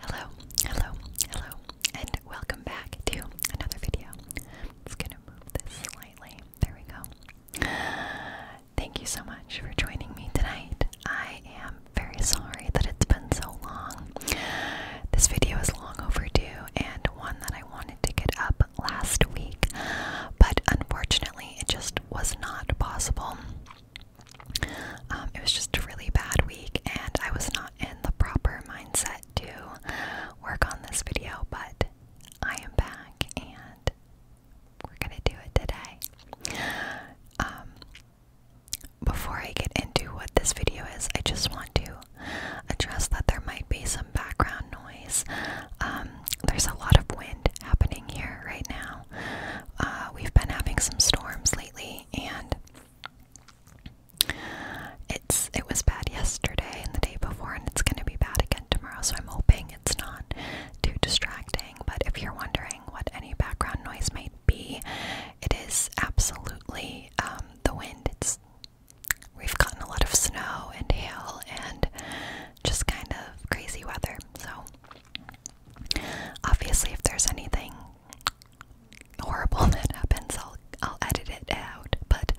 Hello, hello, hello, and welcome back to another video. i gonna move this slightly. There we go. Thank you so much for joining me tonight. I am very sorry that it's been so long. This video is long overdue and one that I wanted to get up last week, but unfortunately, it just was not possible. Um, it was just a really bad week, and I was not in the proper mindset to work on this video, but I am back and we're gonna do it today. Um, before I get into what this video is, I just want to address that there might be some background noise. Um, there's a lot of wind happening here right now. Uh, we've been having some storms lately, and it's it was bad yesterday and the day before, and it's going to be bad again tomorrow. So I'm hoping it's not too distracting. But if you're wondering what any background noise might be, it is absolutely um, the wind. It's we've gotten a lot of snow and hail and just kind of crazy weather. So obviously, if there's anything horrible that happens, I'll I'll edit it out. But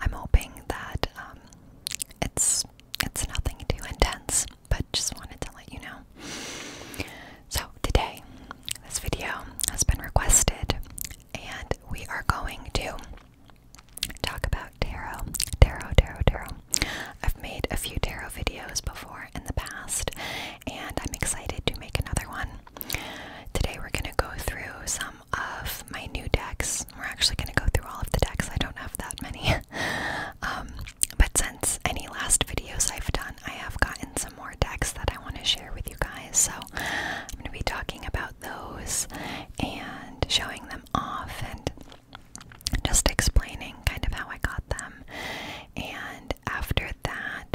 I'm hoping that um, it's it's nothing too intense. But just wanted to let you know. So today this video has been requested, and we are going to talk about tarot. Tarot, tarot, tarot. I've made a few tarot videos before in the past, and I'm excited to make another one. Today, we're going to go through some of my new decks. We're actually going to go through all of the decks, I don't have that many. Um, but since any last videos I've done, I have gotten some more decks that I want to share with you guys. So I'm going to be talking about those and showing them off and just explaining kind of how I got them. And after that,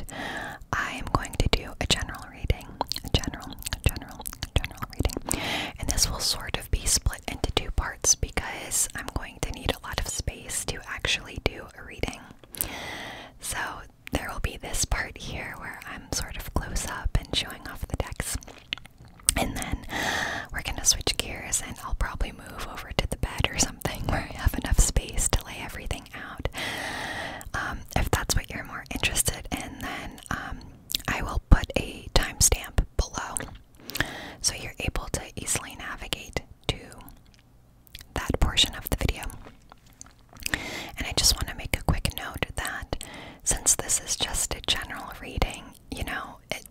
I am going to do a general reading. A general, general, general reading. And this will sort of be split into two parts because I'm going to need a lot of space to actually do a reading. So there will be this part here where I'm sort of close up and showing off the decks. And then we're gonna switch gears and I'll probably move over to the bed or something where I have enough space to lay everything out. Um, if that's what you're more interested in, then um, I will put a timestamp below so you're able to easily navigate to that portion of the video. And I just want to make a quick note that since this is just a general reading, you know, it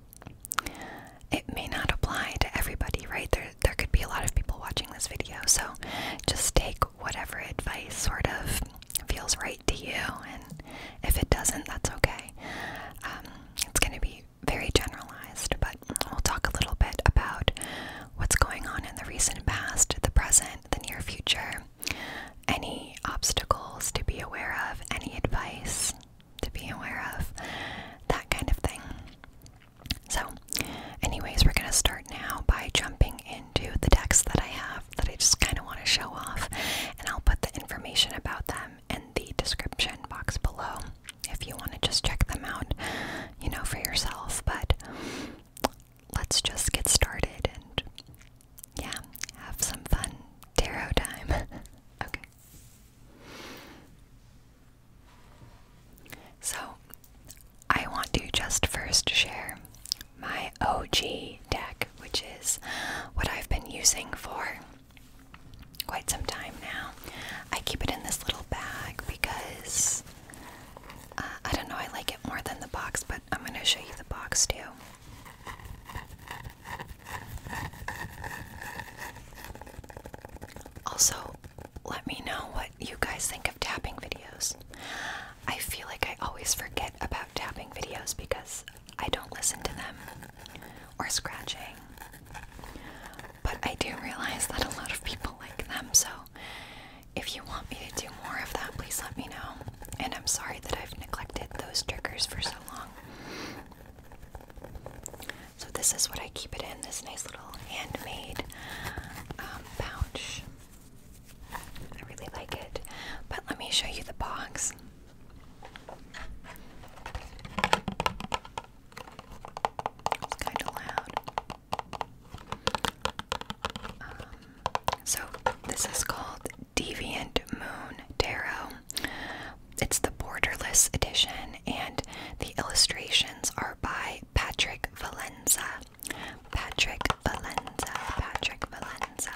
it may not apply to everybody, right? There there could be a lot of people watching this video, so just take whatever advice sort of feels right to you, and if it doesn't, that's okay. Um, it's going to be very generalized, but we'll talk a little bit about what's going on in the recent past, the present, the near future, any obstacles to be aware of, any advice to be aware of, that kind of thing. So, anyways, we're going to start now by jumping into the text that I have that I just kind of want to show off, and I'll put the information about them in the description box below if you want to just check them out, you know, for yourself. But let's just get started and yeah, have some fun tarot time. okay. So, I want to just first share my OG deck, which is what I've been using for quite some time now. I keep it in this little bag because uh, I don't know, I like it more than the box, but I'm going to show you the box too. Also, let me know what you guys think of tapping videos. I feel like I always forget about tapping videos because I don't listen to them or scratching. But I do realize that a lot of people like them, so if you want me to do more of that, please let me know. And I'm sorry that I've neglected those triggers for so long. So, this is what I keep it in this nice little handmade um, pouch. I really like it. But let me show you the box. It's kind of loud. Um, so this is called Deviant Moon Tarot. It's the borderless edition, and the illustrations are by Patrick Valenza. Patrick Valenza. Patrick Valenza.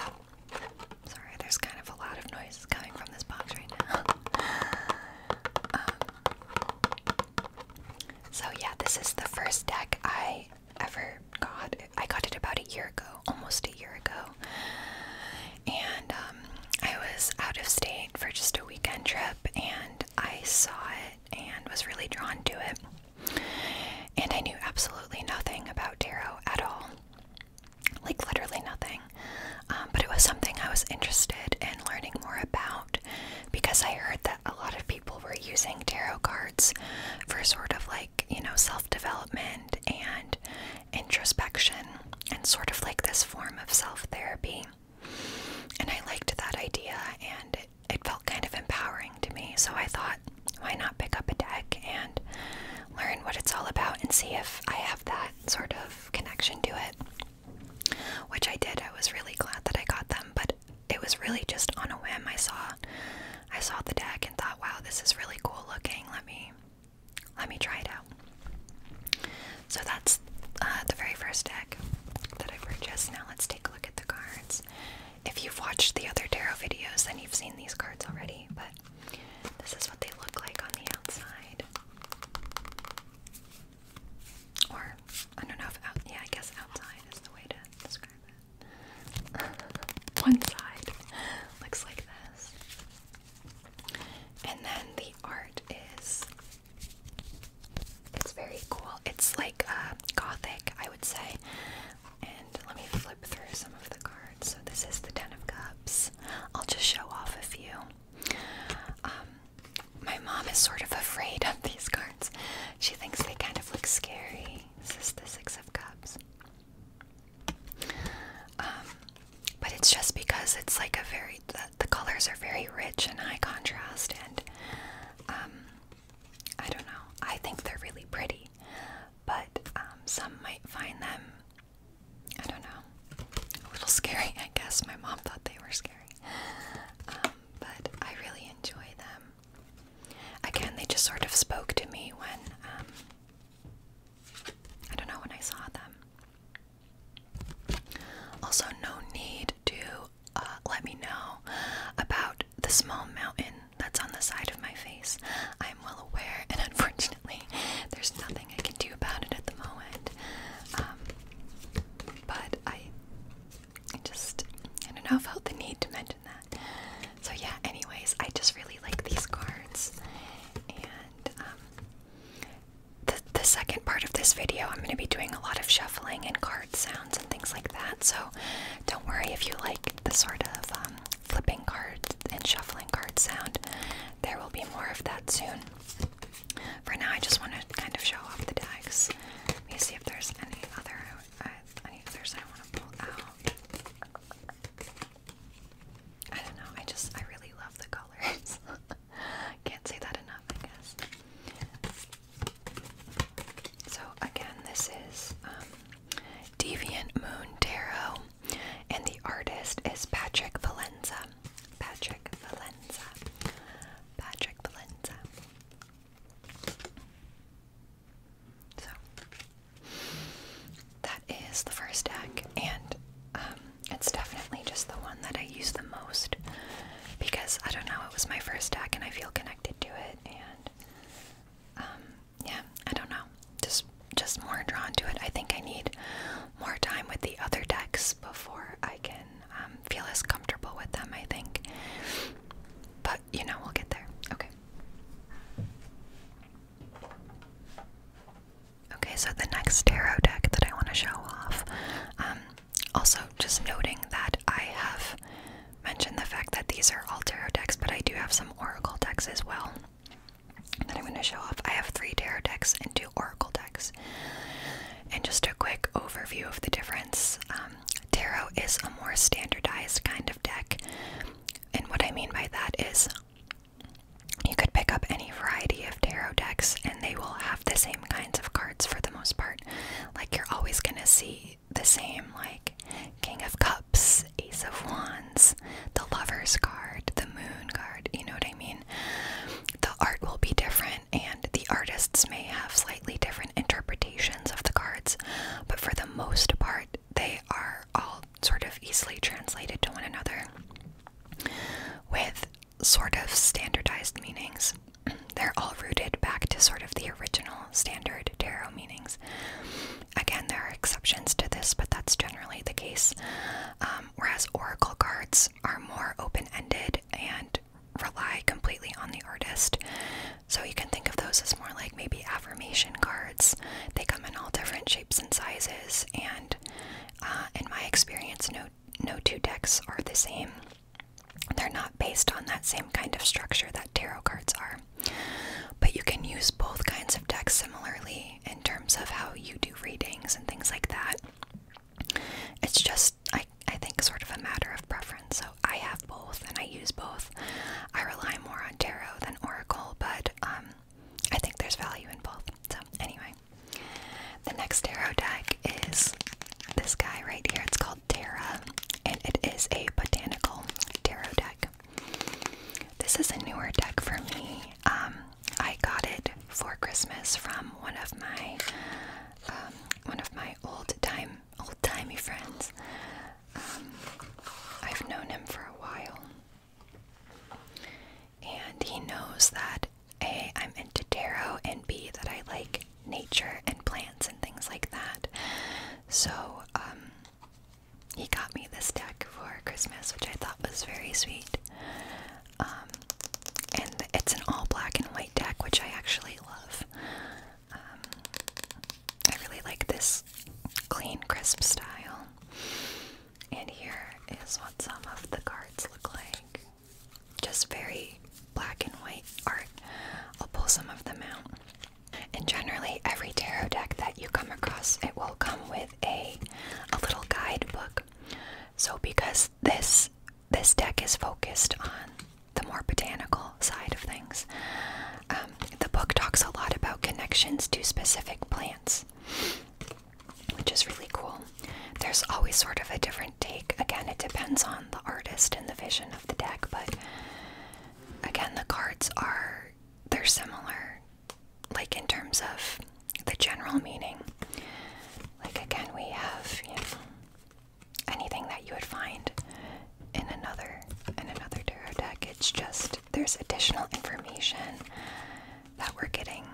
Sorry, there's kind of a lot of noises coming from this box right now. Um, so, yeah, this is the first deck I ever got. I got it about a year ago, almost a year ago. And um, I was out of state for just a weekend trip and I saw it and was really drawn to it. And I knew absolutely nothing about tarot at all. Like, literally nothing. Um, but it was something I was interested in learning more about because I heard that a lot of people people were using tarot cards for sort of like, you know, self development and introspection and sort of like this form of self therapy. And I liked that idea and it, it felt kind of empowering to me. So I thought, why not pick up a deck and learn what it's all about and see if I have that sort of connection to it? Which I did. I was really glad that I got them, but it was really just on a whim. I saw I saw the deck and thought, wow, this is really cool looking. Let me let me try it out. So that's uh, the very first deck that I purchased. Now let's take a look at the cards. If you've watched the other tarot videos, then you've seen these cards already, but this is what they look like on the outside. Or, I don't know if yeah, I guess outside is the way to describe it. One side looks like this. And then the art is it's very cool. It's like uh, gothic, I would say. And let me flip through some of the cards. So this is the Ten of Cups. I'll just show off a few. Um, my mom is sort of afraid of these cards. She thinks they kind of look scary. This is the Six of Cups. Um, but it's just because it's like a very, the, the colors are very rich and high contrast, and um, I don't know. I think they're really pretty, but um, some might find them, I don't know, a little scary, I guess. My mom thought they were scary. Um, but I really enjoy them. Again, they just sort of spoke to me when, um, I don't know, when I saw them. Also, no need to uh, let me know about the small mountain that's on the side of my face. I'm well aware, and unfortunately, there's nothing I can do about it at the moment. Um, but I I just, I don't know, I felt the need to mention that. So yeah, anyways, I just really like these cards. And um, the, the second part of this video, I'm going to be doing a lot of shuffling and card sounds and things like that. So don't worry if you like the sort of um, flipping cards and shuffling card sound. There will be more of that soon. For now, I just want to kind of show off the decks. Let me see if there's any other I, on either I want to pull out. I don't know, I just, I really love the colors. Can't say that enough, I guess. So, again, this is um, Deviant Moon Tarot, and the artist is Patrick Valenza. Patrick Valenza. Patrick Valenza. So that is the first deck, and um, it's definitely just the one that I use the most because I don't know, it was my first deck and I feel connected to it, and um, yeah, I don't know, just just more drawn to it. I think I need more time with the other decks before I can um, feel as comfortable with them. I think, but you know, we'll get there. Okay. Okay, so the next tarot deck that I want to show off. Um, also, just noting that I have mentioned the fact that these are all tarot decks, but I do have some oracle decks as well that I'm going to show off. I have three tarot decks and two oracle decks. And just a quick overview of the difference. Um, Tarot is a more standardized kind of deck, and what I mean by that is you could pick up any variety of tarot decks and they will have the same kinds of cards for the most part. Like, you're always gonna see the same, like King of Cups, Ace of Wands, the Lover's card, the Moon card, you know what I mean? The art will be different, and the artists may have like different interpretations of the cards, but for the most part, they are all sort of easily translated to one another with sort of standardized meanings. They're all rooted back to sort of the original standard tarot meanings. Again, there are exceptions to this, but that's generally the case. Um, whereas oracle cards are more open ended and rely completely on the artist. So you can think of those as more like maybe affirmation cards. They come in all different shapes and sizes, and uh, in my experience, no no two decks are the same. They're not based on that same kind of structure that tarot cards are. But you can use both kinds of decks similarly in terms of how you do readings and things like that. It's just I I think sort of a matter of preference. So I have both and I use both. I rely more on tarot than oracle, but um, I think there's value in both. So, anyway, the next tarot deck is this guy right here. It's called Terra, and it is a botanical tarot deck. This is a newer deck for me. Um, I got it for Christmas from one of my um, one of my old time old timey friends. Um, I've known him for a while, and he knows that A, I'm into tarot, and B, that I like nature and plants and things like that. So, um, he got me this deck for Christmas, which I thought was very sweet. Um, and it's an all black and white deck, which I actually love. Um, I really like this clean, crisp style. And here is what some of the cards look like. Just very black and white art. I'll pull some of them out. And generally, every tarot deck that you come across, it will come with a a little guidebook. So because this this deck is focused on the more botanical side of things. Um, the book talks a lot about connections to specific plants, which is really cool. There's always sort of a different take. Again, it depends on the artist and the vision of the deck, but again, the cards are they're similar, like in terms of the general meaning. Like again, we have you know anything that you would find in another in another tarot deck. It's just there's additional information that we're getting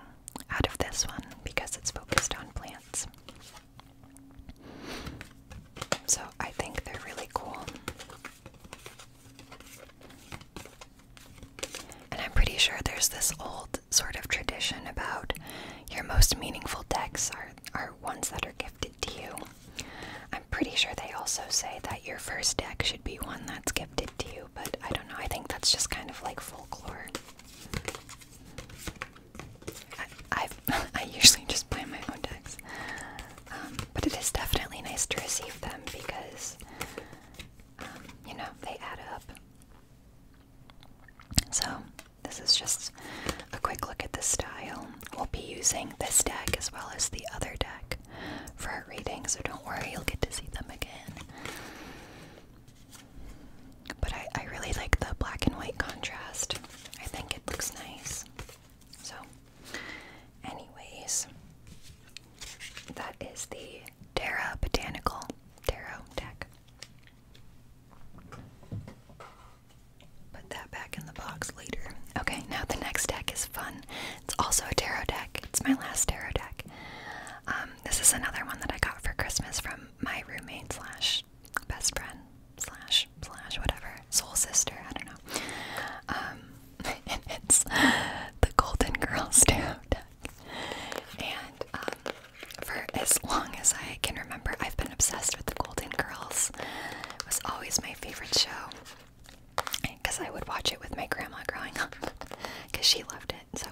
out of this one because it's focused on plants. So I think they're really cool. And I'm pretty sure there's this old sort of tradition about your most meaningful decks are are ones that are gifted to you. I'm pretty sure they also say that your first deck should be one that's gifted to you, but I don't know. I think that's just kind of like folklore. I i usually just play my own decks, um, but it is definitely nice to receive them because um, you know they add up. So this is just a quick look at the style we'll be using this deck as well as the other deck for our reading, so don't worry, you'll get to see them again. But I, I really like the black and white contrast, I think it looks nice. So, anyways, that is the Terra Botanical Tarot deck. Put that back in the box later. Okay, now the next deck is fun. It's also a tarot deck. It's my last tarot deck. Um, this is another one that I got for Christmas from my roommate slash best friend slash slash whatever soul sister. I don't know. Um, and it's the Golden Girls tarot deck. And um, for as long as I can remember, I've been obsessed with the Golden Girls. It was always my favorite show because I would watch it with my grandma growing up because she loved it. So,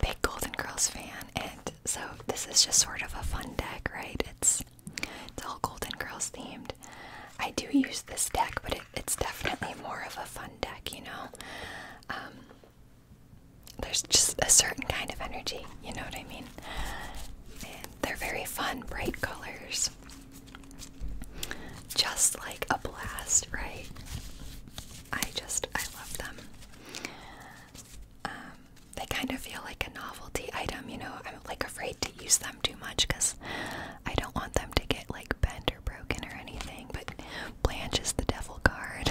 big Golden Girls fan, and so this is just sort of a fun deck, right? It's it's all Golden Girls themed. I do use this deck, but it's definitely more of a fun deck, you know. Um, there's just a certain kind of energy, you know what I mean? they're very fun, bright colors. Just like a blast, right? I just, I love them. Um, they kind of feel like a novelty item, you know. I'm like afraid to use them too much because I don't want them to get like bent or broken or anything. But Blanche is the devil card.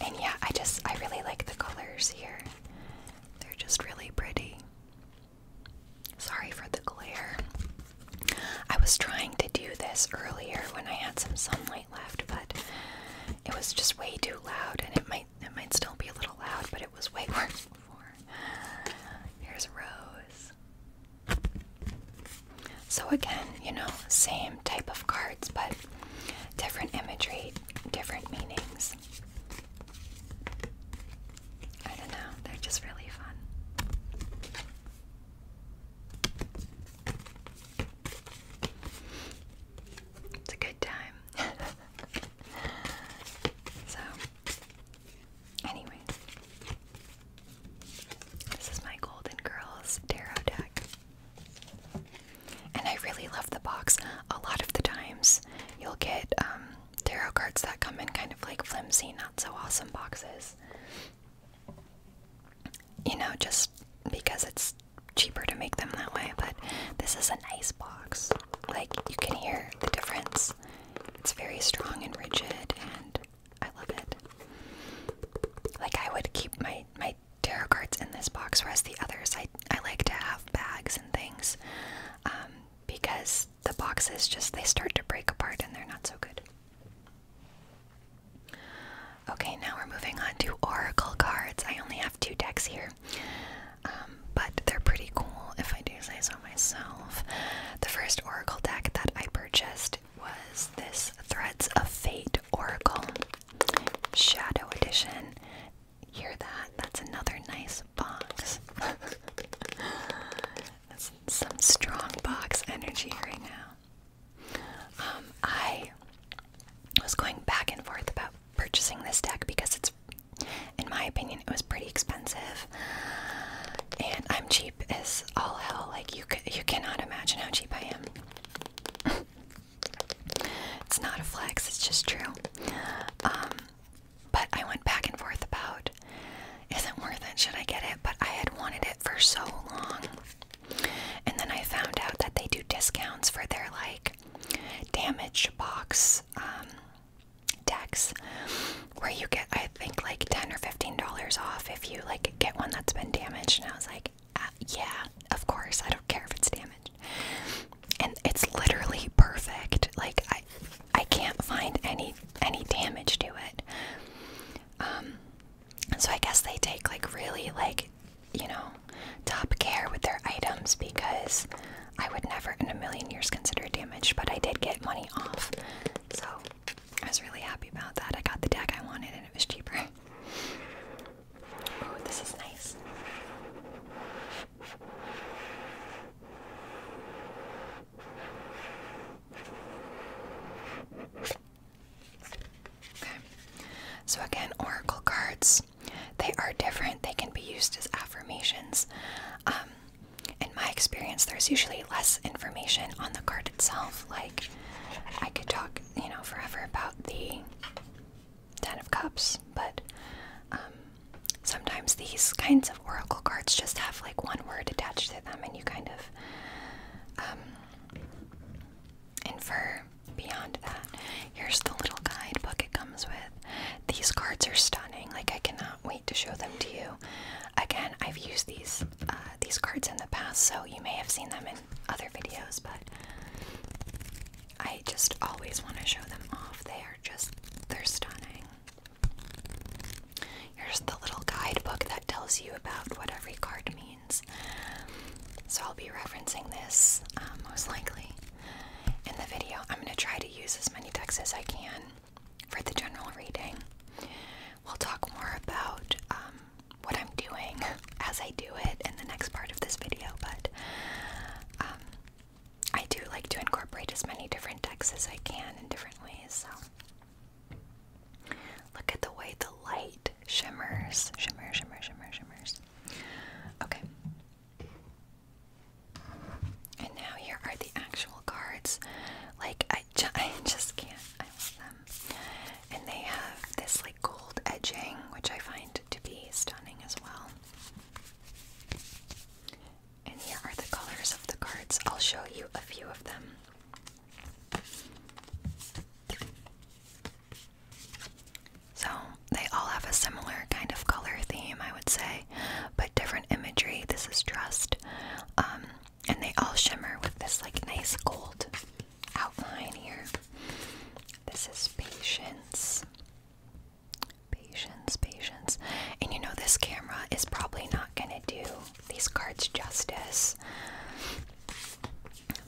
and yeah, I just, I really like the colors here. They're just really pretty. Sorry for the glare. I was trying to do this earlier when I had some sunlight left, but it was just way too loud and it might it might still be a little loud, but it was way worse before. Here's Rose. So again, you know, same type of cards, but different imagery, different meanings. I don't know, they're just really fun. It's a good time. so, anyways, this is my Golden Girls tarot deck. And I really love the box. A lot of the times, you'll get um, tarot cards that come in kind of like flimsy, not so awesome boxes. You know, just because it's cheaper to make them that way. But this is a nice box. Like, you can hear the difference. It's very strong and rigid, and I love it. Like, I would keep my, my tarot cards in this box, whereas the others I, I like to have bags and things um, because the boxes just they start to break apart and they're not so good. Okay, now we're moving on to oracle cards. I only have two decks here, um, but they're pretty cool if I do say so myself. The first oracle deck that I purchased was this Threads of Fate Oracle Shadow Edition. Hear that? That's another nice box. That's some strong box energy right now. Um, I was going back and forth about purchasing this deck because it's, in my opinion, it was pretty expensive, and I'm cheap as all hell. Like you, you cannot imagine how cheap I am. it's not a flex; it's just true. Um, but I went back and forth about is it worth it? Should I get it? But I had wanted it for so long. And then I found out that they do discounts for their like damage box um, decks where you get, I think, like 10 or $15 off if you like get one that's been damaged. And I was like, uh, yeah, of course. I don't care if it's damaged and it's literally perfect. Like I, I can't find any any damage to it. Um, so I guess they take like really like you know top care with their items because I would never in a million years consider it damaged, but I did get money off. So I was really happy about that. I got the deck I wanted and it was cheaper. Oh, this is nice. Okay. So again, oracle cards. They are different. They can be used as affirmations. Um, in my experience, there's usually less information on the card itself. Like, I could talk, you know, forever about the Ten of Cups, but um, sometimes these kinds of oracle cards just have like one word attached to them, and you kind of um, infer beyond that. Here's the little guidebook it comes with. These cards are stunning. Like I cannot wait to show them to you. Again, I've used these uh, these cards in the past, so you may have seen them in other videos, but I just always want to show them off. They are just, they're stunning. Here's the little guidebook that tells you about what every card means. So I'll be referencing this uh, most likely in the video. I'm going to try to use as many decks as I can for the general reading. We'll talk more about um, what I'm doing as I do it in the next part of this video, but um, I do like to incorporate as many different decks as I can in different ways. So, look at the way the light shimmers. Shimmer, shimmer, shimmer, shimmers. Okay. And now here are the actual cards. Like, I, I just can't. I love them. And they have this, like, gold edging, which I find to be stunning as well. And here are the colors of the cards. I'll show you a few of them. So, they all have a similar kind of color theme, I would say, but different imagery. This is trust. Um, and they all shimmer with this like nice gold outline here. This is patience. Patience, patience. And you know, this camera is probably not gonna do these cards justice,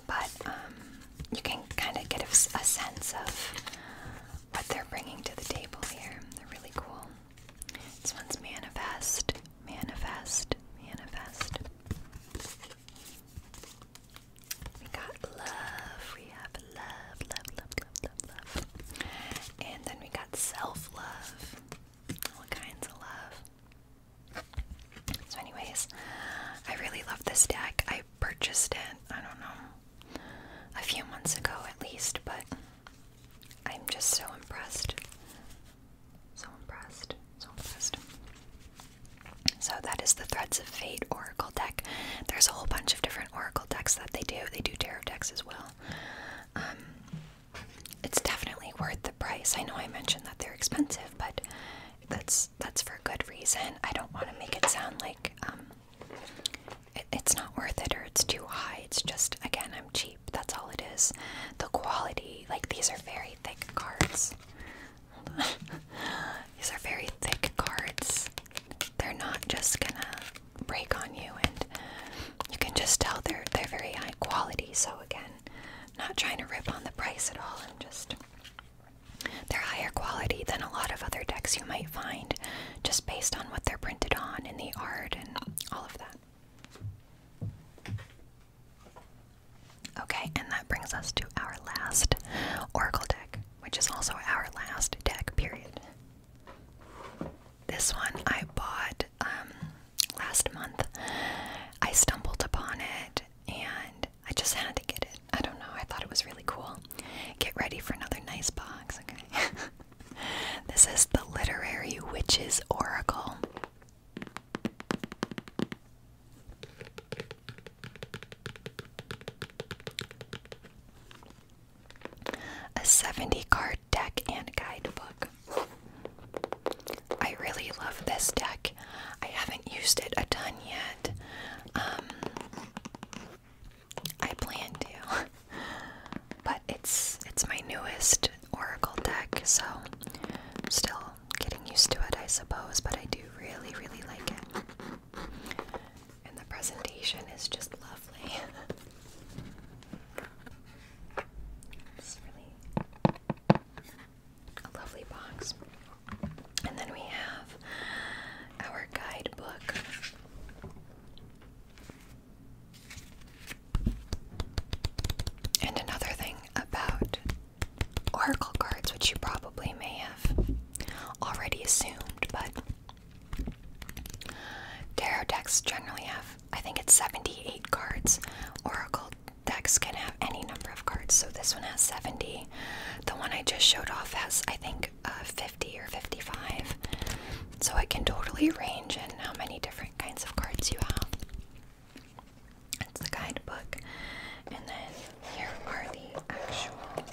but um, you can kind of get a, a sense of what they're bringing to the table here. They're really cool. This one's manifest, manifest, manifest. We got love. We have love, love, love, and then we got self love. All kinds of love. So, anyways, I really love this deck. I purchased it, I don't know, a few months ago at least, but I'm just so impressed. So impressed. So impressed. So, that is the Threads of Fate Oracle deck. There's a whole bunch of different oracles decks that they do. They do tarot decks as well. Um, it's definitely worth the price. I know I mentioned that they're expensive, but that's that's for a good reason. I don't want to make it sound like um, it's not worth it or it's too high. It's just again, I'm cheap. That's all it is. The quality, like these are very thick cards. These are very thick cards. They're not just gonna break on you and you can just tell they're they're very high quality so again not trying to rip on the price at all I'm just they're higher quality than a lot of other decks you might find just based on what they're printed on and the art and all of that Okay, and that brings us to our last Oracle deck, which is also our last deck, period. This one I bought um, last month. I stumbled upon it and I just had to get it. I don't know, I thought it was really cool. Get ready for another nice box, this is the Literary Witch's Oracle a 70 card deck and guidebook. I really love this deck. I haven't used it a ton yet. Um, I plan to, but it's it's my newest Oracle deck, so I'm still getting used to it, I suppose. But I do really, really like it. And the presentation is just lovely. it's really a lovely box. And then we have our guidebook. And another thing about oracle cards, which you probably may have already assumed, but Tarot decks generally have, I think it's 78 cards. Oracle decks can have any number of cards, so this one has 70. The one I just showed off has, I think, uh, 50 or 55. So it can totally range in how many different kinds of cards you have. It's the guidebook. And then here are the actual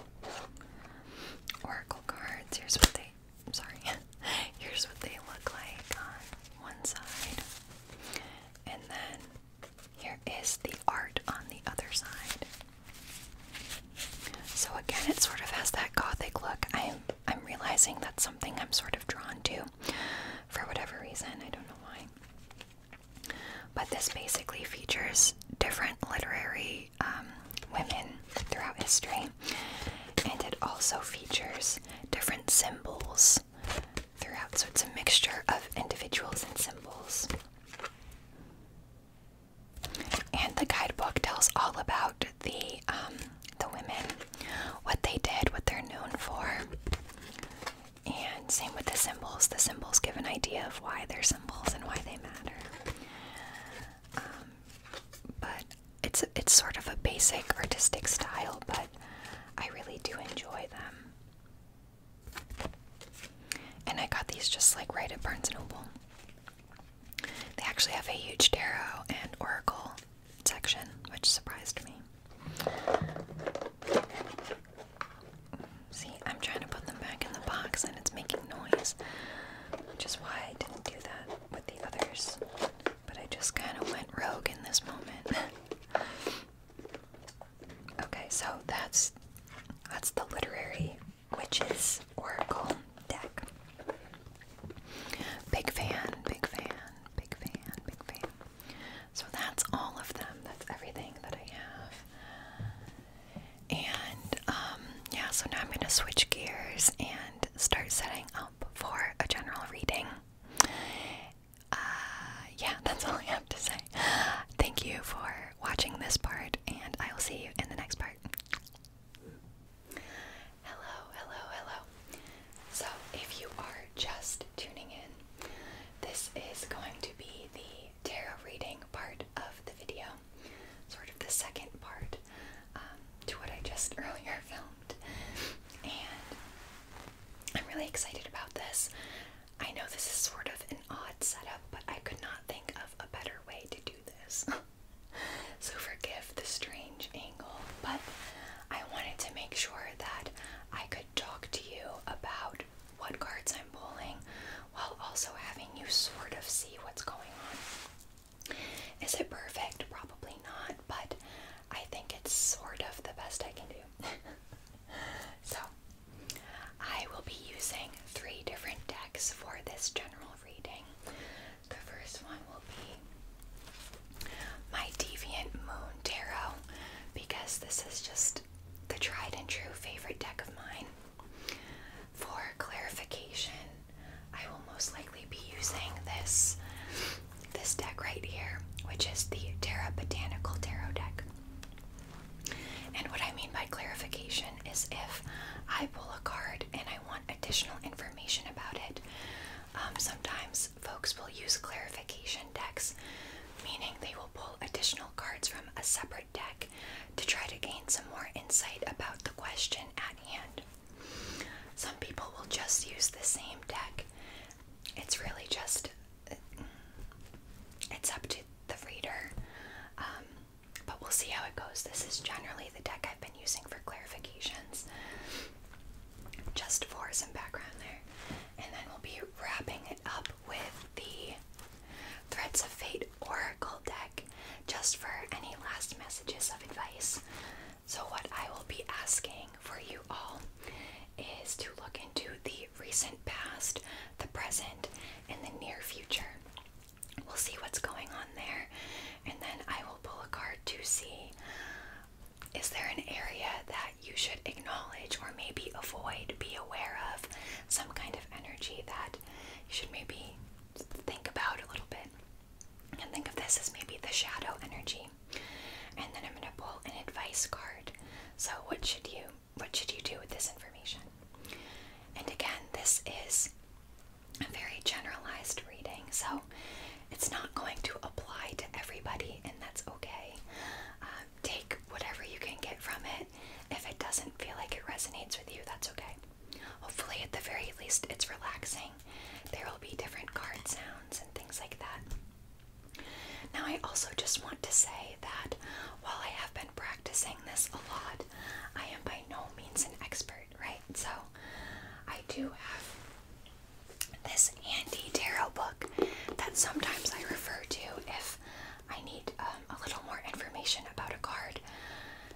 oracle cards. Here's what they I'm sorry. Here's what they look like on one side. And then here is the art on the other side. So again, it sort of has that gothic look. I'm I'm realizing that's something I'm sort of drawn to for whatever reason. I don't know why. But this basically features different literary um, women throughout history, and it also features different symbols throughout, so it's a mixture of individuals and symbols. And the guidebook tells all about the um, the women, what they did, what they're known for, and same with the symbols. The symbols give an idea of why they're symbols and why they matter. Um, but it's it's sort of a basic artistic style, but I really do enjoy them. And I got these just like right at Barnes and Noble. They actually have a huge tarot and oracle section, which surprised me. See, I'm trying to put them back in the box and it's making noise, which is why I didn't do that with the others, but I just kind of went rogue in this moment. okay, so that's that's the literary witches oracle deck. Big fan, big fan, big fan, big fan. So that's all of them. That's everything that I have. And um, yeah, so now I'm going to switch gears and start setting up for a general reading. Uh, yeah, that's all I have to say. Thank you for watching this part, and I will see you in the next part. Hello, hello, hello. So, if you are just tuning in, this is going to be the tarot reading part of the video sort of the second part um, to what I just earlier filmed. And I'm really excited about this. I know this is sort of an odd setup, but I could not think of a better way to do this. so forgive the strange angle, but I wanted to make sure that I could talk to you about what cards I'm pulling while also having you sort of see what's going on. Is it perfect? Probably not, but I think it's sort of the best I can do. so, I will be using three different decks for this general reading. The first one will be my Deviant Moon Tarot because this is just the tried and true favorite deck of mine. For clarification, I will most likely be using this this deck right here, which is the Terra Botanical Tarot deck. And what I mean by clarification is if I pull a card and I want additional information about it, um, sometimes folks will use clarification decks, meaning they will pull additional cards from a separate deck to try to gain some more insight about the question at hand. Some people will just use the same deck. It's really just it's up to the reader. Um, but we'll see how it goes. This is generally the deck I've been using for clarifications. Just for some background there. And then we'll be wrapping it up with the Threads of Fate Oracle deck just for any last messages of advice. So, what I will be asking for you all is to look into the recent past, the present, and the near future. We'll see what's going on there, and then I will pull a card to see is there an area that you should acknowledge or maybe avoid, be aware of, some kind of energy that you should maybe think about a little bit. And think of this as maybe the shadow energy. And then I'm going to pull an advice card. So what should you what should you do with this information? And again, this is a very generalized reading, so it's not going to apply to everybody, and that's okay. Um, take whatever you can get from it. If it doesn't feel like it resonates with you, that's okay. Hopefully, at the very least, it's relaxing. There will be different card sounds and things like that. Now, I also just want to say that while I have been practicing this a lot, I am by no means an expert, right? So, I do have this Andy tarot book that sometimes I refer to if I need um, a little more information about a card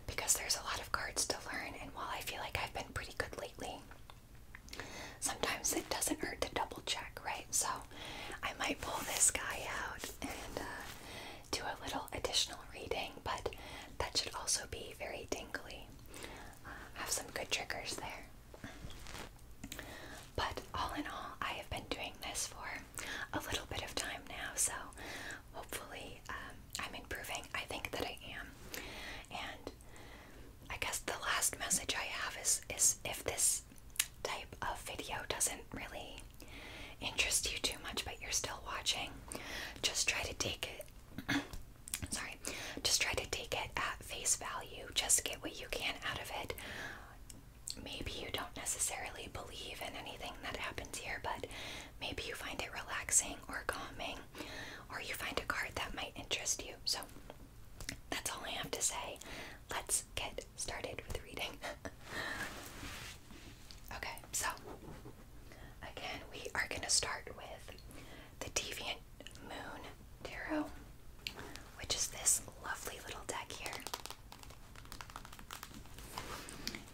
because there's a lot of cards to learn, and while I feel like I've been pretty good lately, sometimes it doesn't hurt to double check, right? So I might pull this guy out and uh, do a little additional reading, but that should also be very tingly. Uh, have some good triggers there. But all in all, I have been doing this for a little bit of time now, so hopefully um, I'm improving. I think that I am. And I guess the last message I have is is if this type of video doesn't really interest you too much but you're still watching, just try to take it sorry, just try to take it at face value. Just get what you can out of it. Maybe you don't necessarily believe in anything that happens here, but maybe you find it relaxing or calming or you find a card that might interest you. So that's all I have to say. Let's get started with reading. okay, so again, we are going to start with the Deviant Moon Tarot, which is this lovely little deck here.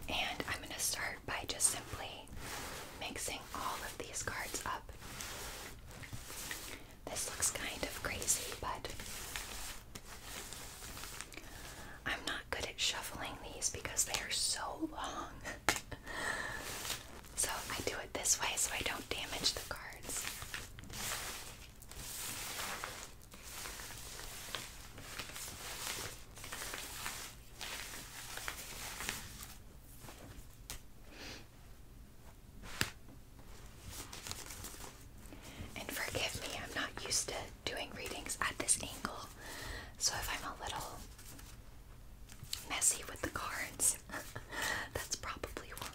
And I'm going to start by just simply mixing all of these cards up. This looks kind of crazy, but I'm not good at shuffling these because they are so long. so I do it this way so I don't damage the cards. And forgive me, I'm not used to doing readings at this angle, so if I'm a little messy with the cards, that's probably why.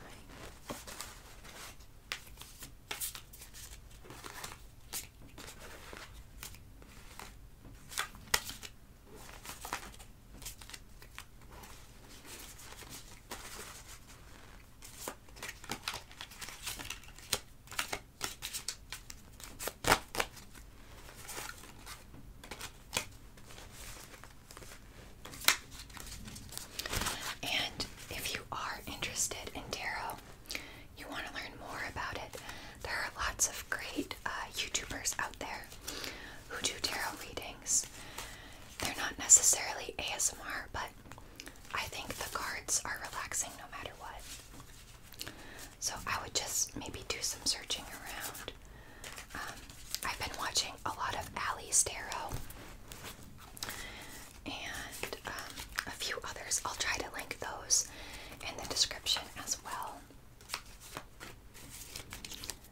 And if you are interested in tarot, you want to learn more about it, there are lots of great uh, YouTubers out there who do tarot readings. They're not necessarily ASMR, but I think the cards are relaxing no matter what. So I would just maybe do some searching around. Um, I've been watching a lot of Allie's Tarot and um, a few others. I'll try to link those in the description as well.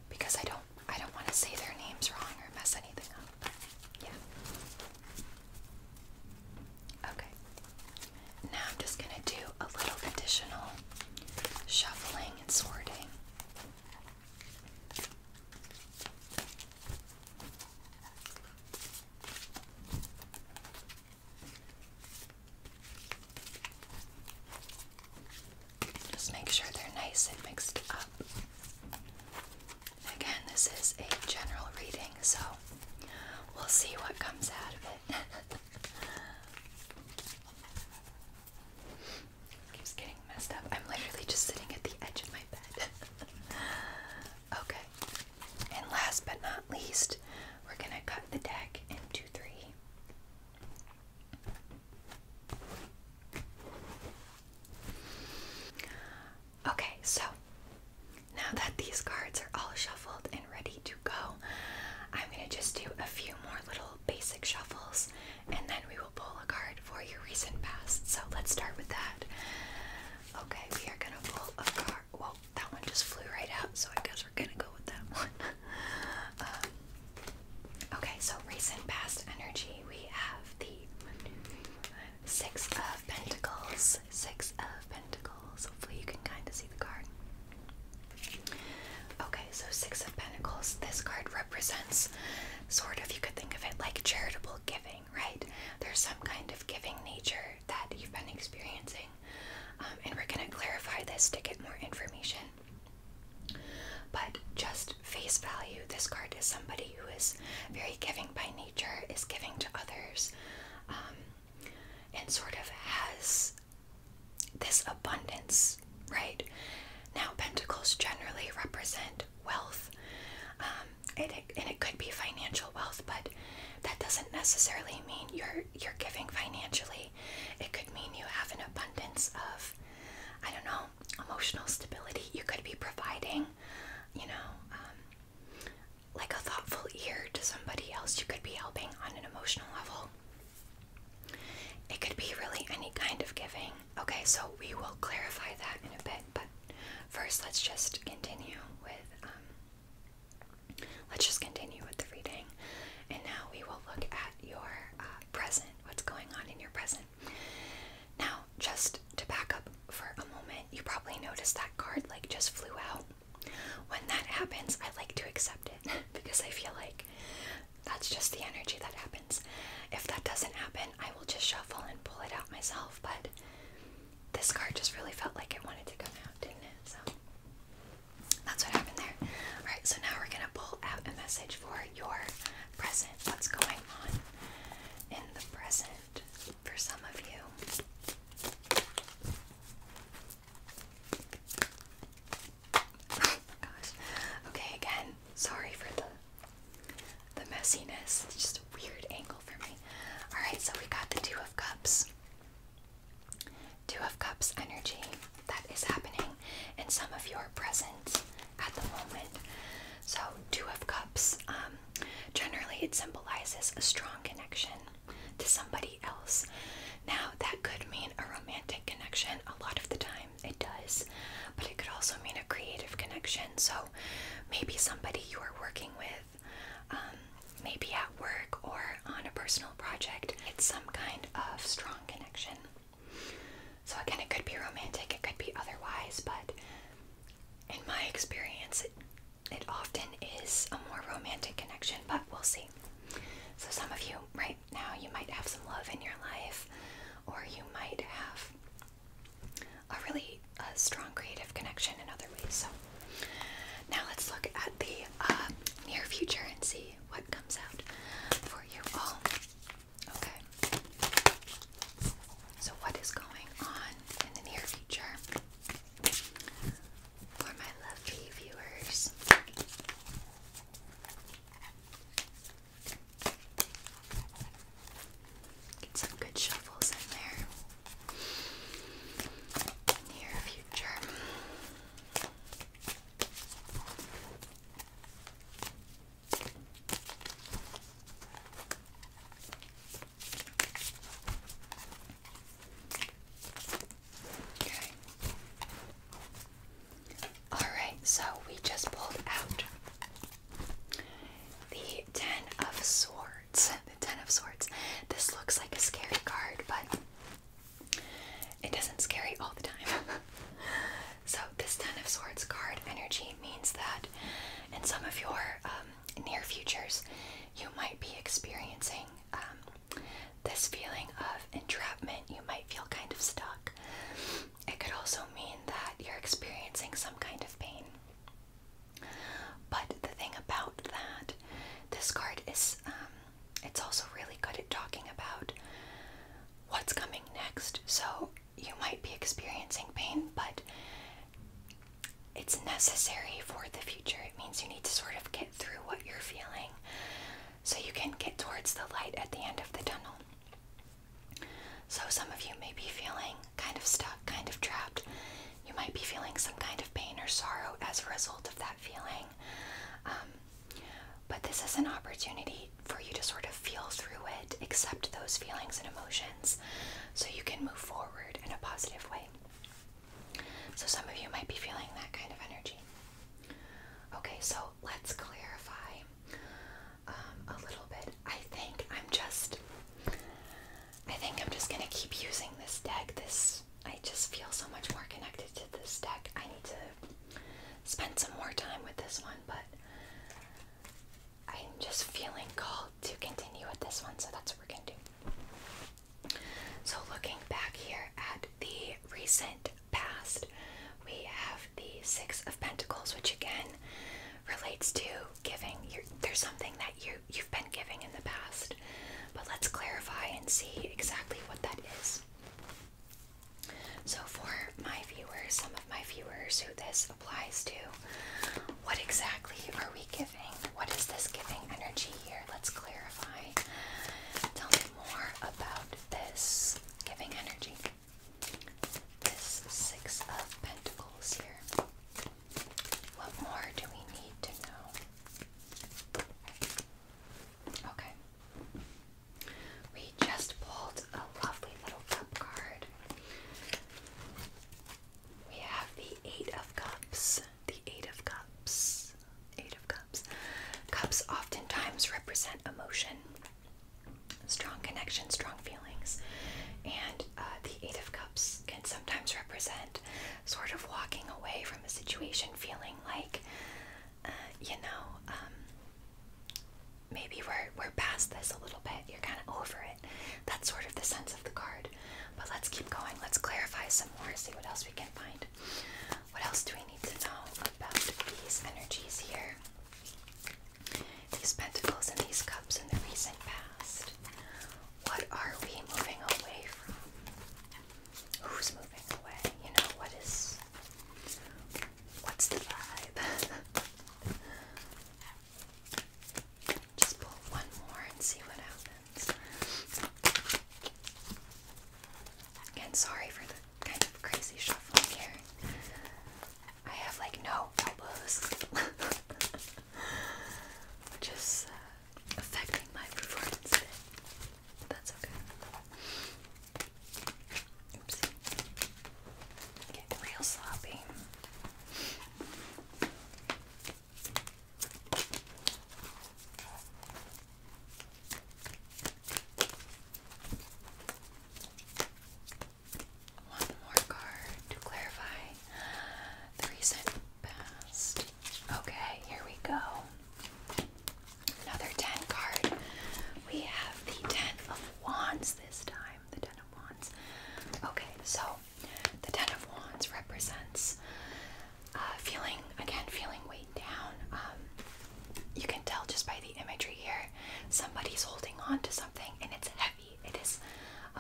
Because I don't I don't want to say their names wrong or mess anything up. Yeah. Okay. Now I'm just gonna do a little additional shuffling and sorting. Just make sure they're nice and mixed up. Again, this is a general reading, so we'll see what comes out of it. Keeps getting messed up. I'm literally just sitting at the edge of my bed. okay. And last but not least, we're going to cut the deck into three. Okay, so now that these cards are all shuffled and ready to go, I'm going to just do a few more little basic shuffles and then we will pull a card for your recent past. So let's start with that. Okay, we are going to pull a card. Well, that one just flew right out, so I guess we're going to go with that one. Uh, okay, so recent past energy we have the Six of Pentacles. Six of Pentacles. Hopefully, you can kind of see the card. Okay, so Six of Pentacles. This card represents sort of, you could think of it like charitable giving, right? There's some kind of giving nature that you've been experiencing. Um, and we're going to clarify this to get more information but just face value, this card is somebody who is very giving by nature, is giving to others, um, and sort of has this abundance, right? Now, pentacles generally represent wealth, um, and it could be financial wealth, but that doesn't necessarily mean you're you're giving financially, it could mean you have an abundance of I don't know, emotional stability. You could be providing, you know, um, like a thoughtful ear to somebody else. You could be helping on an emotional level. It could be really any kind of giving. Okay, so we will clarify that in a bit, but first let's just continue with um, let's just continue with the reading. And now we will look at your uh, present, what's going on in your present. Now, just to back up for a moment, you probably noticed that card like just flew out. When that happens, I like to accept it because I feel like that's just the energy that happens. If that doesn't happen, I will just shuffle and pull it out myself, but this card just really felt like it wanted to come out, didn't it? That's what happened there. All right, so now we're gonna pull out a message for your present. What's going on in the present for some of you? Gosh. Okay, again, sorry for the the messiness. It's just a weird angle for me. All right, so we got the two of cups. Two of Cups energy that is happening in some of your presence at the moment. So, Two of Cups, um, generally it symbolizes a strong connection to somebody else. Now, that could mean a romantic connection a lot of the time, it does, but it could also mean a creative connection. So, maybe somebody you are working with, um, maybe at work or on a personal project, it's some kind of strong connection. So, again, it could be romantic, it could be otherwise, but in my experience, it, often is a more romantic connection, but we'll see. So, some of you right now, you might have some love in your life, or you might have a really strong creative connection in other ways. So, now let's look at the uh, near future and see what comes out for you all. Okay. So, what is going on in the near future for my lovely viewers? Get some good shuffles in there. Near future. All right, so we just pulled out the Ten of Swords. The Ten of Swords. This looks like a scary card, but it doesn't scare you all the time. so, this Ten of Swords card energy means that in some of your um, near futures, you might be experiencing um, this feeling of entrapment. You might feel kind of stuck. It could also mean that you're experiencing some kind of pain. But the thing about that, this card is um, it's also really good at talking about what's coming next. So you might be experiencing pain, but it's necessary for the future. It means you need to sort of get through what you're feeling so you can get towards the light at the end of the tunnel. So, some of you may be feeling kind of stuck, kind of trapped. You might be feeling some kind of pain or sorrow as a result of that feeling. Um, but this is an opportunity for you to sort of feel through it, accept those feelings and emotions, so you can move forward in a positive way. So, some of you might be feeling that kind of energy. Okay, so let's clarify um, a little bit. I think I'm just, I think I'm just gonna keep using this deck. This, I just feel so much more connected to this deck. I need to spend some more time with this one, but I'm just feeling called to continue with this one, so that's what we're gonna do. So, looking back here at the recent past, we have the Six of Pentacles, which again relates to giving. there's something that you you've been giving in the past, but let's clarify and see exactly what that is. So, for my viewers, some of my viewers who this applies to, what exactly are we giving? What is this giving energy here? Let's clarify. Tell me more about this giving energy. This Six of Pentacles here. What more do we need to know? Okay. We just pulled a lovely little cup card. We have the Eight of Cups. The Eight of Cups. Eight of Cups. Cups oftentimes represent emotion, strong connection, strong feelings. And uh, the Eight of Cups can sometimes represent sort of walking away from a situation feeling like, uh, you know, um, maybe we're we're past this a little bit. You're kind of over it. That's sort of the sense of the card. But let's keep going. Let's clarify some more. See what else we can find. What else do we need to know about these energies here? These pentacles and these cups in the recent past. What are we moving away from? Who's moving away? You know, what is What's the vibe? Just pull one more and see what happens. Again, sorry for the kind of crazy shuffling here. I have like no elbows, which is uh, affecting my performance that's okay. Oopsie. Getting real sloppy. One more card clarify the recent past. Okay, here we go. Another 10 card. We have the 10 of Wands this time. The 10 of Wands. Okay, so the 10 of Wands represents uh, feeling, again, feeling weighed down. Um, you can tell just by the imagery here, somebody's holding on to something and it's heavy. It is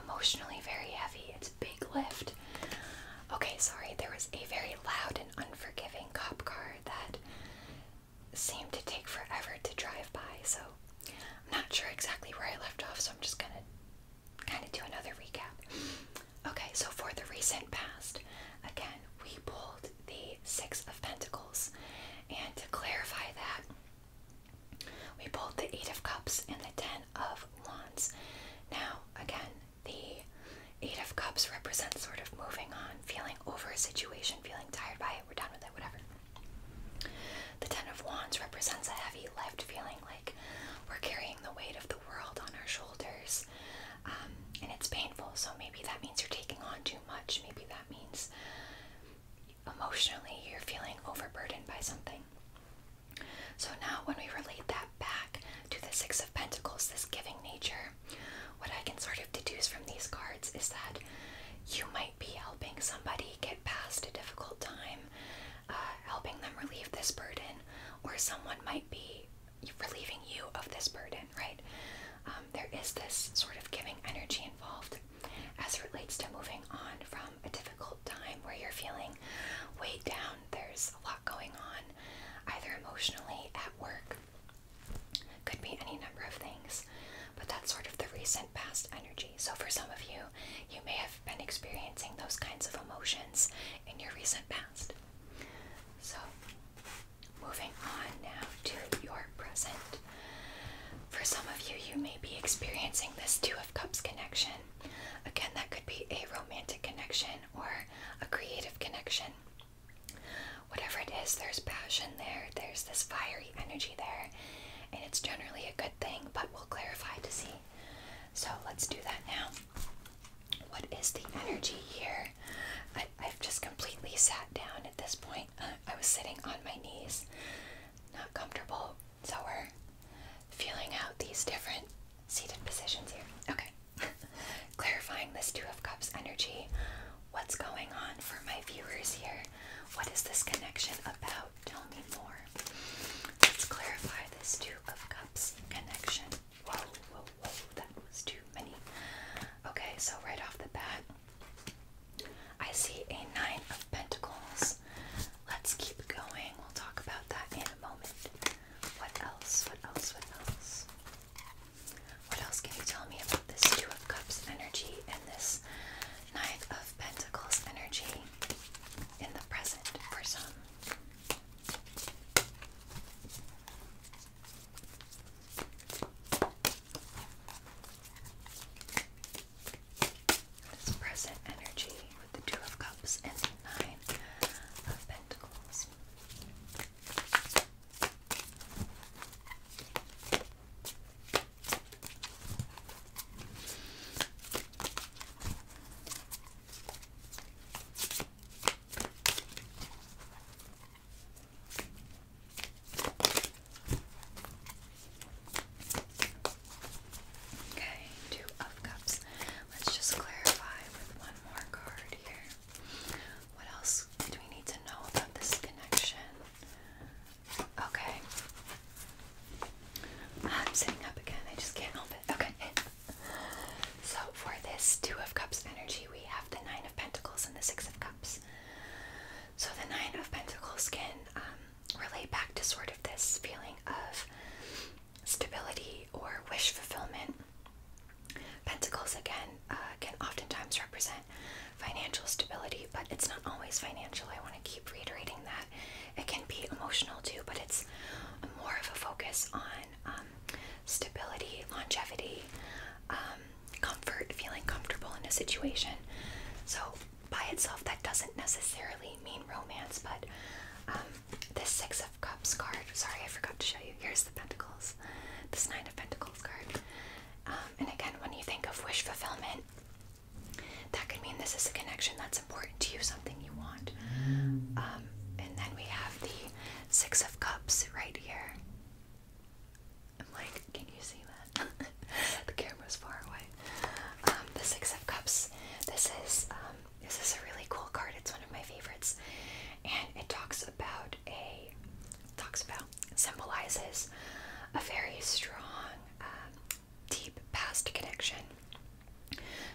emotionally very heavy. It's big lift. Okay, sorry, there was a very loud and unforgiving cop card that Seem to take forever to drive by, so I'm not sure exactly where I left off, so I'm just gonna kind of do another recap. Okay, so for the recent past, again, we pulled the Six of Pentacles, and to clarify that, we pulled the Eight of Cups and the Ten of Wands. Now, again, the Eight of Cups represents sort of moving on, feeling over a situation, feeling tired by it, we're done with it, whatever. The Ten of Wands represents a heavy lift feeling like we're carrying the weight of the world on our shoulders. Um, and it's painful, so maybe that means you're taking on too much. Maybe that means emotionally you're feeling overburdened by something. So now, when we relate that back to the Six of Pentacles, this giving nature, what I can sort of deduce from these cards is that you might be helping somebody get past a difficult time, uh, helping them relieve this burden, or someone might be relieving you of this burden, right? Um, there is this sort of giving energy involved as it relates to moving on from a difficult time where you're feeling weighed down, there's a lot going on, either emotionally, at work, could be any number of things, but that's sort of the recent past energy. So, for some of you, you may have been experiencing those kinds of emotions in your recent past. So, moving on now to your present. For some of you, you may be experiencing this Two of Cups connection. Again, that could be a romantic connection or a creative connection whatever it is, there's passion there, there's this fiery energy there, and it's generally a good thing, but we'll clarify to see. So let's do that now. What is the energy here? I, have just completely sat down at this point. Uh, I was sitting on my knees, not comfortable, so we're feeling out these different seated positions here. Okay. clarifying this Two of Cups energy. What's going on for my viewers here? What is this connection about? Tell me more. Let's clarify this Two of Cups connection. Whoa, whoa, whoa, that was too many. Okay, so right off the bat, I see a Nine of Pentacles. Let's keep going. We'll talk about that in a moment. What else? What else? What else? What else can you tell me about this Two of Cups energy and this Nine of Pentacles energy in the present or some? present energy with the Two of Cups and the Nine of Pentacles. Okay, two of cups. Let's just clarify with one more card here. What else do we need to know about this connection? Okay. I'm sitting up again. I just can't help it. Okay. So for this Two of Cups energy, we have the Nine of Pentacles and the Six of Cups. So the Nine of Pentacles can um, relate back to sort of this feeling of stability or wish fulfillment. Pentacles again uh, can oftentimes represent financial stability, but it's not always financial. I want to keep reiterating that. It can be emotional too, but it's more of a focus on um, stability, longevity, um, comfort, feeling comfortable in a situation. So, by itself, that doesn't necessarily mean romance, but um, this Six of Cups card, sorry, I forgot to show you. Here's the Pentacles, this Nine of Pentacles card. Um, and again, when you think of wish fulfillment, that could mean this is a connection that's important to you, something you want. Mm. Um, and then we have the Six of Cups right here. I'm like, can you see that? the camera's far away. Um, the Six of Cups. This is this is a really cool card. It's one of my favorites, and it talks about a talks about symbolizes a very strong, um, deep past connection.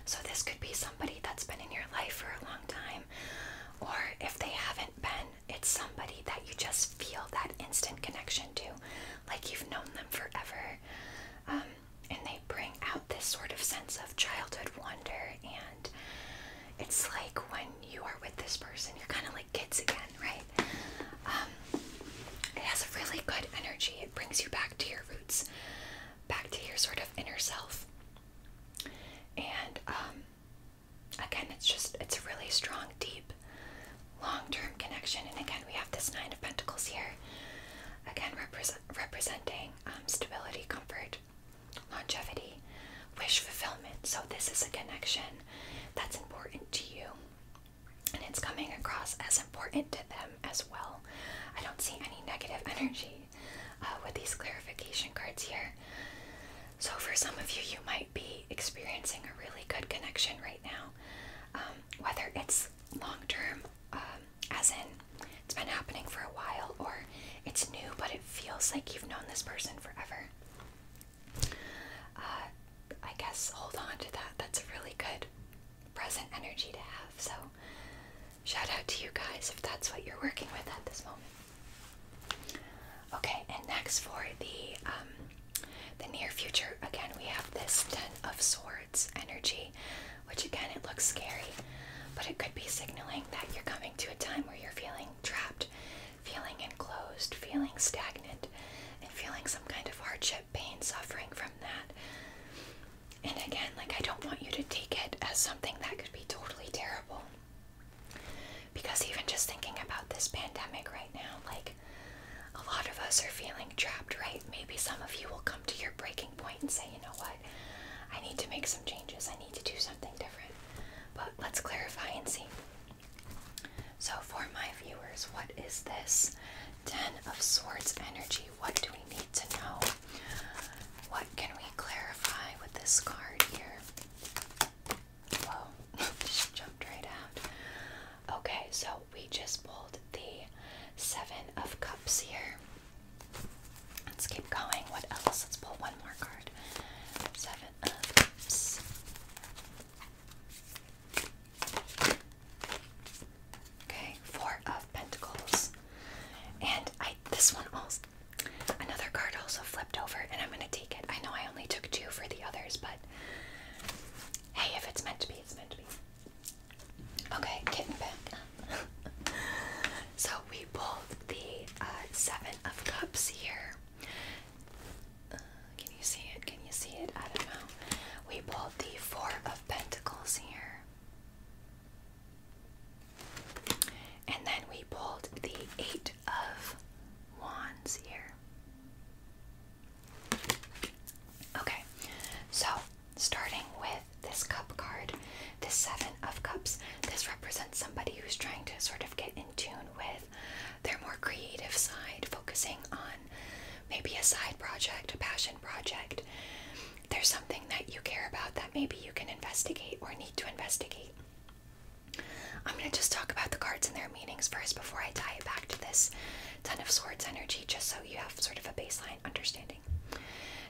So, this could be somebody that's been in your life for a long time, or if they haven't been, it's somebody that you just feel that instant connection to, like you've known them forever. Um, and they bring out this sort of sense of childhood wonder, and it's like when you are with this person, you're kind of like kids again, right? Um, it has a really good energy. It brings you back to your roots, back to your sort of inner self. And um, again, it's just, it's a really strong, deep, long term connection. And again, we have this Nine of Pentacles here. Again, representing um, stability, comfort, longevity, wish fulfillment. So, this is a connection that's important to you and it's coming across as important to them as well. I don't see any negative energy uh, with these clarification cards here. So, for some of you, you might be experiencing a really good connection right now, um, whether it's long term, um, as in it's been happening for a while, or it's new but it feels like you've known this person forever. Uh, I guess hold on to that. That's really good present energy to have. So, shout out to you guys if that's what you're working with at this moment. Okay, and next for the um, the near future, again we have this Ten of Swords energy, which again it looks scary, but it could be signaling that you're coming to a time where you're feeling trapped, feeling enclosed, feeling stagnant, and feeling some kind of hardship, pain, suffering from that. And again, like I don't want you to take it as something that could be totally terrible. Because even just thinking about this pandemic right now, like a lot of us are feeling trapped, right? Maybe some of you will come to your breaking point and say, you know what, I need to make some changes, I need to do something different. But let's clarify and see. So, for my viewers, what is this Ten of Swords energy? What do we need to know? What can we clarify with this card here? Whoa, just jumped right out. Okay, so we just pulled the Seven of Cups here. Let's keep going. What else? Let's pull one more card. Seven of Cups. Okay, four of pentacles. And I this one also another card also flipped over and I'm gonna take it. I know I only took two for the others, but hey, if it's meant to be, it's meant to be. Okay, getting back. so we pulled the uh, seven of cups here. Uh, can you see it? Can you see it? I don't know. We pulled the Four of Pentacles here. And then we pulled the Eight of Wands here. Okay, so starting with this Cup card, the Seven of Cups, this represents somebody who's trying to sort of get in tune with their more creative side, focusing on maybe a side project, a passion project. There's something that you care about that maybe you can investigate or need to investigate. I'm going to just talk about the cards and their meanings first before I tie it back to this Ten of Swords energy, just so you have sort of a baseline understanding.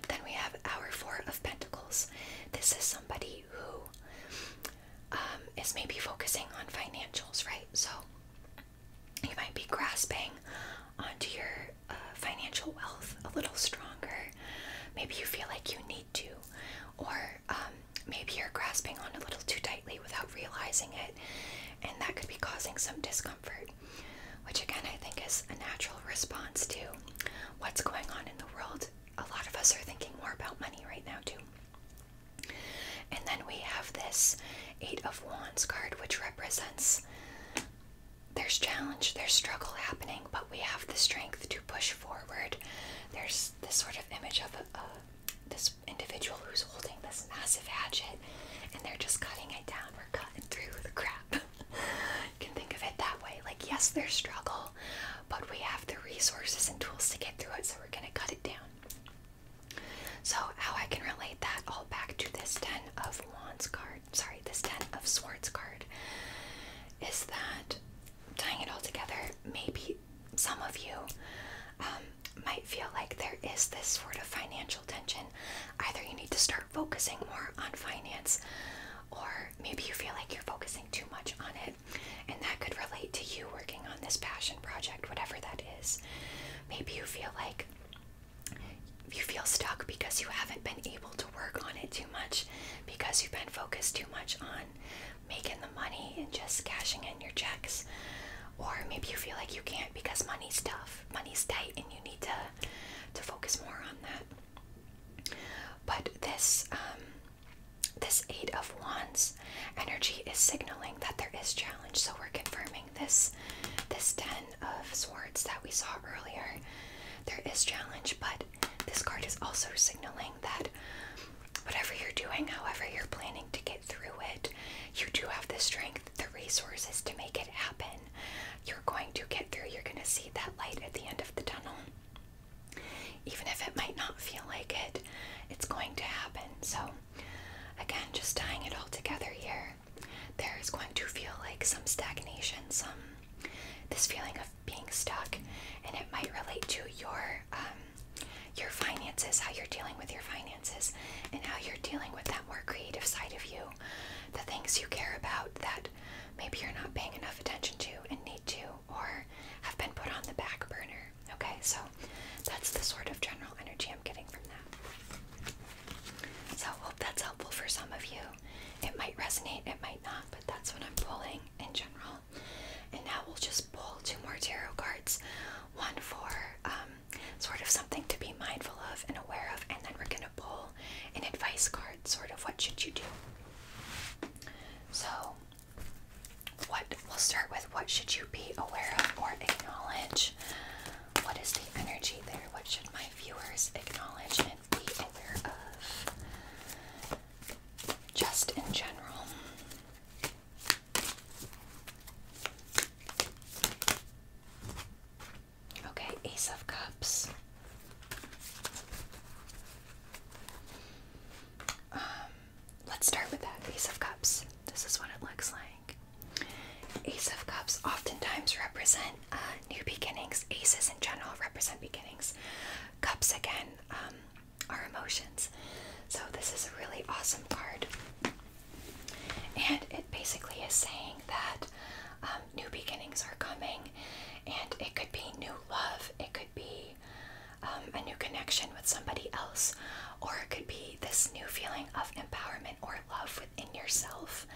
Then we have our Four of Pentacles. This is somebody who um, is maybe focusing on financials, right? So you might be grasping onto your uh, financial wealth a little stronger. Maybe you feel like you need to, or um, maybe you're grasping on a little too tightly without realizing it, and that could be causing some discomfort, which again I think is a natural response to what's going on in the world. A lot of us are thinking more about money right now, too. And then we have this Eight of Wands card, which represents there's challenge, there's struggle happening, but we have the strength to push forward. There's this sort of image of this individual who's holding this massive hatchet and they're just cutting it down. We're cutting through the crap. you can think of it that way. Like, yes, there's struggle, but we have the resources and tools to get through it, so we're going to cut it down. So how I can relate that all back to this ten of wands card, sorry, this ten of swords card, is that tying it all together, maybe some of you um, might feel like there is this sort of financial tension. Either you need to start focusing more on finance, or maybe you feel like you're focusing too much on it. And that could relate to you working on this passion project, whatever that is. Maybe you feel like you feel stuck because you haven't been able to work on it too much because you've been focused too much on making the money and just cashing in your checks. Or maybe you feel like you can't because money's tough, money's tight, and you need to to focus more on that. But this um, this Eight of Wands energy is signaling that there is challenge. So we're confirming this this Ten of Swords that we saw earlier. There is challenge, but this card is also signaling that whatever you're doing, however you're planning to get through it, you do have the strength, the resources to make it happen. You're going to get through. You're going to see that light at the end of the tunnel. Even if it might not feel like it, it's going to happen. So again, just tying it all together here, there is going to feel like some stagnation, some this feeling of being stuck, and it might relate to your um, your finances, how you're dealing with your finances, and how you're dealing with that more creative side of you, the things you care about that maybe you're not paying enough attention to and need to, or have been put on the back burner. Okay, so that's the sort of general energy I'm getting from that. So, hope that's helpful for some of you. It might resonate, it might not, but that's what I'm pulling in general. And now we'll just pull two more tarot cards one for um, sort of something to be mindful of and aware of, and then we're going to pull an advice card sort of what should you do. So, what we'll start with what should you be aware of or acknowledge? What is the energy there? What should my viewers acknowledge and be aware of? Just in general. Okay, Ace of Cups. Um, let's start with that Ace of Cups. This is what it looks like. Ace of Cups oftentimes represent uh, new beginnings. Aces in general represent beginnings. Cups again um, are emotions. So this is a really awesome card. And it basically is saying that um, new beginnings are coming, and it could be new love, it could be um, a new connection with somebody else, or it could be this new feeling of empowerment or love within yourself,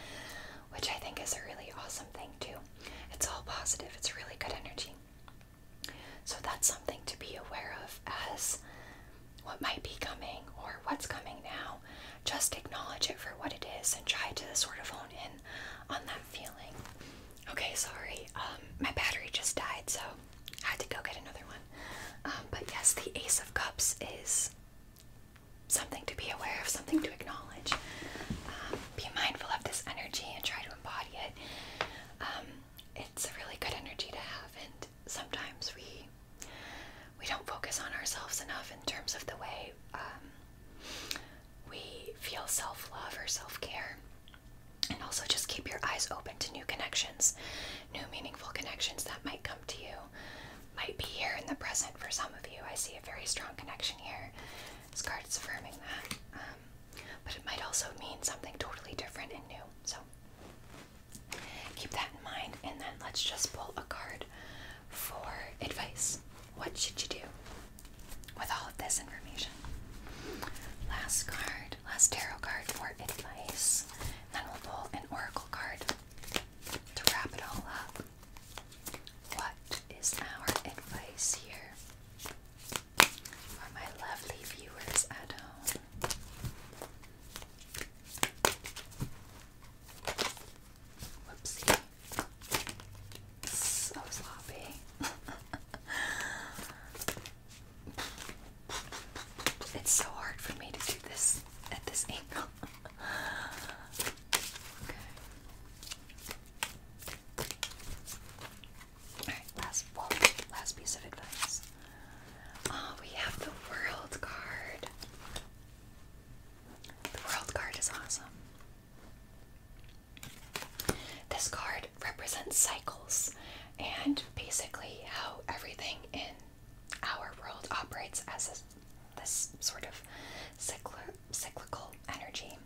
which I think is a really awesome thing, too. It's all positive, it's really good energy. So, that's something to be aware of as what might be coming or what's coming now. Just acknowledge it for what it is and try to sort of hone in on that feeling. Okay, sorry, um, my battery just died, so had to go get another one. Um, but yes, the Ace of Cups is something to be aware of, something to acknowledge. Um, be mindful of this energy and try to embody it. Um, it's a really good energy to have, and sometimes we we don't focus on ourselves enough in terms of the way we feel self-love or self-care. And also just keep your eyes open to new connections, new meaningful connections that might come to you, might be here in the present for some of you. I see a very strong connection here. This card is affirming that. Um, but it might also mean something totally different and new. So keep that in mind. And then let's just pull a card for advice. What should you do with all of this information? Last card, last tarot card for advice. Then we'll pull an oracle card to wrap it all up. What is our advice here for my lovely viewers at home? Whoopsie. So sloppy. It's so hard for me to do this at this angle. Alright, last last piece of advice. Oh, we have the world card. The world card is awesome. This card represents cycles and basically how everything in our world operates as this sort of cycl cyclical energy.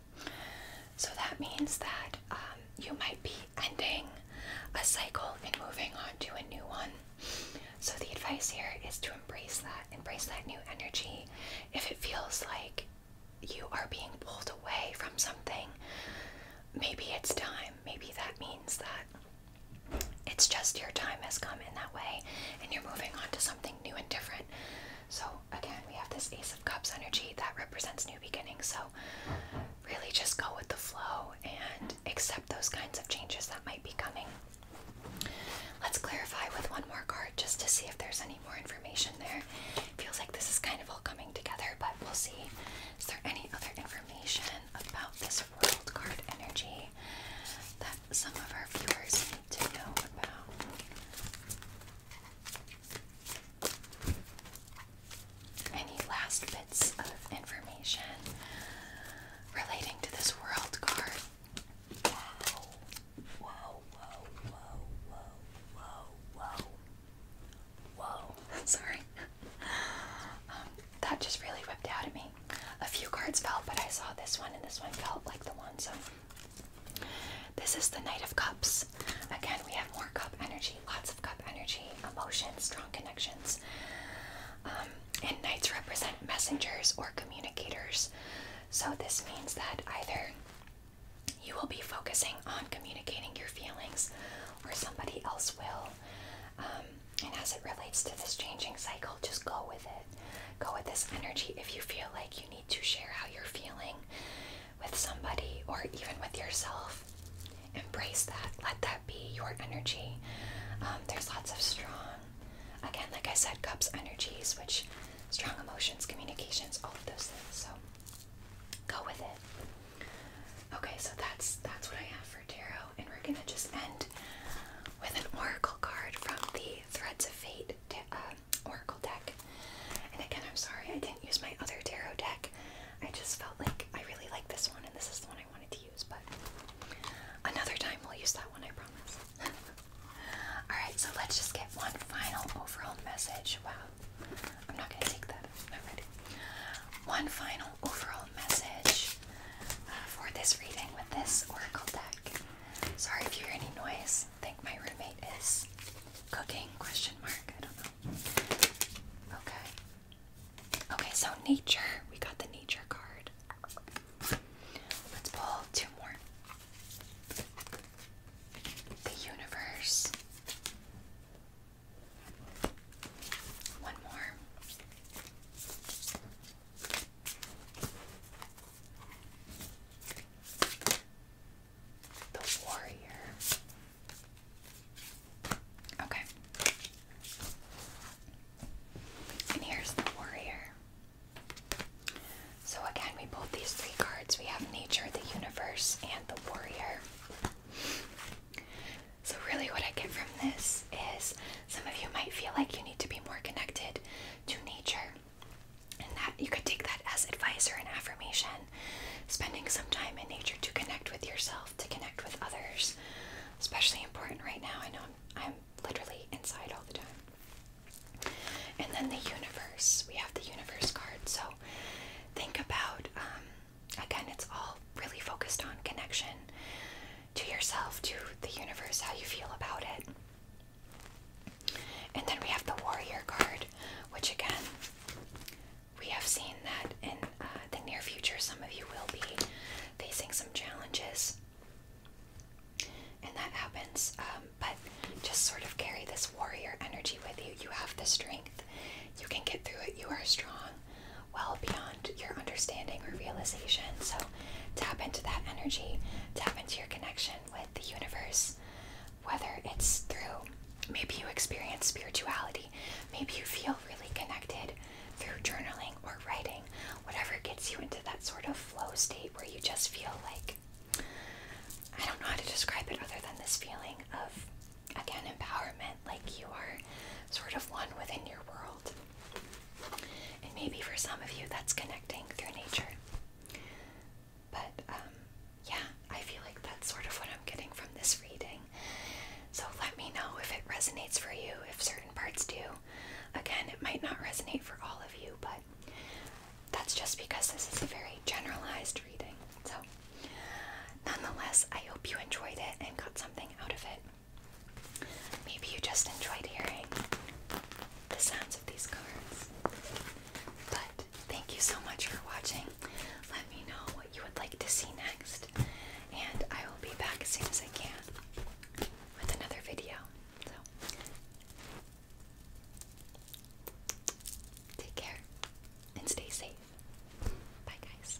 So that means that um, you might be ending a cycle and moving on to a new one. So the advice here is to embrace that, embrace that new energy. If it feels like you are being pulled away from something, maybe it's time. Maybe that means that it's just your time has come in that way and you're moving on to something new and different. So, again, we have this Ace of Cups energy that represents new beginnings. So, really just go with the flow and accept those kinds of changes that might be coming. Let's clarify with one more card just to see if there's any more information there. Feels like this is kind of all coming together, but we'll see. Is there any other information? about this world card energy that some of our viewers need to know about. Any last bits of information relating to this world card? Whoa, sorry. Um, that just really whipped out of me. A few cards fell, but I saw this one, and this one felt like the one. So, this is the Knight of Cups. Again, we have more cup energy, lots of cup energy, emotions, strong connections. Um, and knights represent messengers or communicators. So, this means that either you will be focusing on communicating your feelings, or somebody else will. Um, and as it relates to this changing cycle, just go with it. Go with this energy if you feel like you need to share how you're feeling with somebody or even with yourself. Embrace that. Let that be your energy. Um, there's lots of strong, again, like I said, cups energies, which strong emotions, communications, all of those things. So go with it. Okay, so that's that's what I have for tarot and we're gonna just end with an oracle card from the Threads of Fate um, oracle deck. And again, I'm sorry I didn't use my other tarot deck. I just felt like I really like this one, and this is the one I wanted to use. But another time we'll use that one, I promise. All right, so let's just get one final overall message. Wow, I'm not gonna take that. I'm ready. One final overall message uh, for this reading with this oracle deck. Sorry if you hear any noise. think my roommate is cooking? Question mark. I don't know. Okay. Okay. So nature. We got the nature card. Let's pull two more. The universe. One more. The warrior. Okay. And here's the warrior. So again, we pulled these three cards. We have nature, the universe, and the warrior. So, really, what I get from this is some of you might feel like you need to be more connected to nature, and that you could take that as advice or an affirmation. Spending some time in nature to connect with yourself, to connect with others, especially important right now. I know I'm, I'm literally inside all the time. And then the universe. We have the universe card. So, think about um, Again, it's all really focused on connection to yourself, to the universe, how you feel about it. And then we have the Warrior card, which again, we have seen that in uh, the near future, some of you will be facing some challenges. And that happens, um, but just sort of carry this warrior energy with you. You have the strength, you can get through it, you are strong well beyond your understanding or realization. So tap into that energy, tap into your connection with the universe, whether it's through maybe you experience spirituality, maybe you feel really connected through journaling or writing, whatever gets you into that sort of flow state where you just feel like I don't know how to describe it other than this feeling of again empowerment, like you are sort of one within your world. And maybe for some of you that's connecting through nature. But um, yeah, I feel like that's sort of what I'm getting from this reading. So let me know if it resonates for you, if certain parts do. Again, it might not resonate for all of you, but that's just because this is a very generalized reading. So, nonetheless, I hope you enjoyed it and got something out of it. Maybe you just enjoyed hearing the sounds of these cards. But thank you so much for watching. Let me know what you would like to see next, and I will be back as soon as I can with another video. So, take care and stay safe. Bye, guys.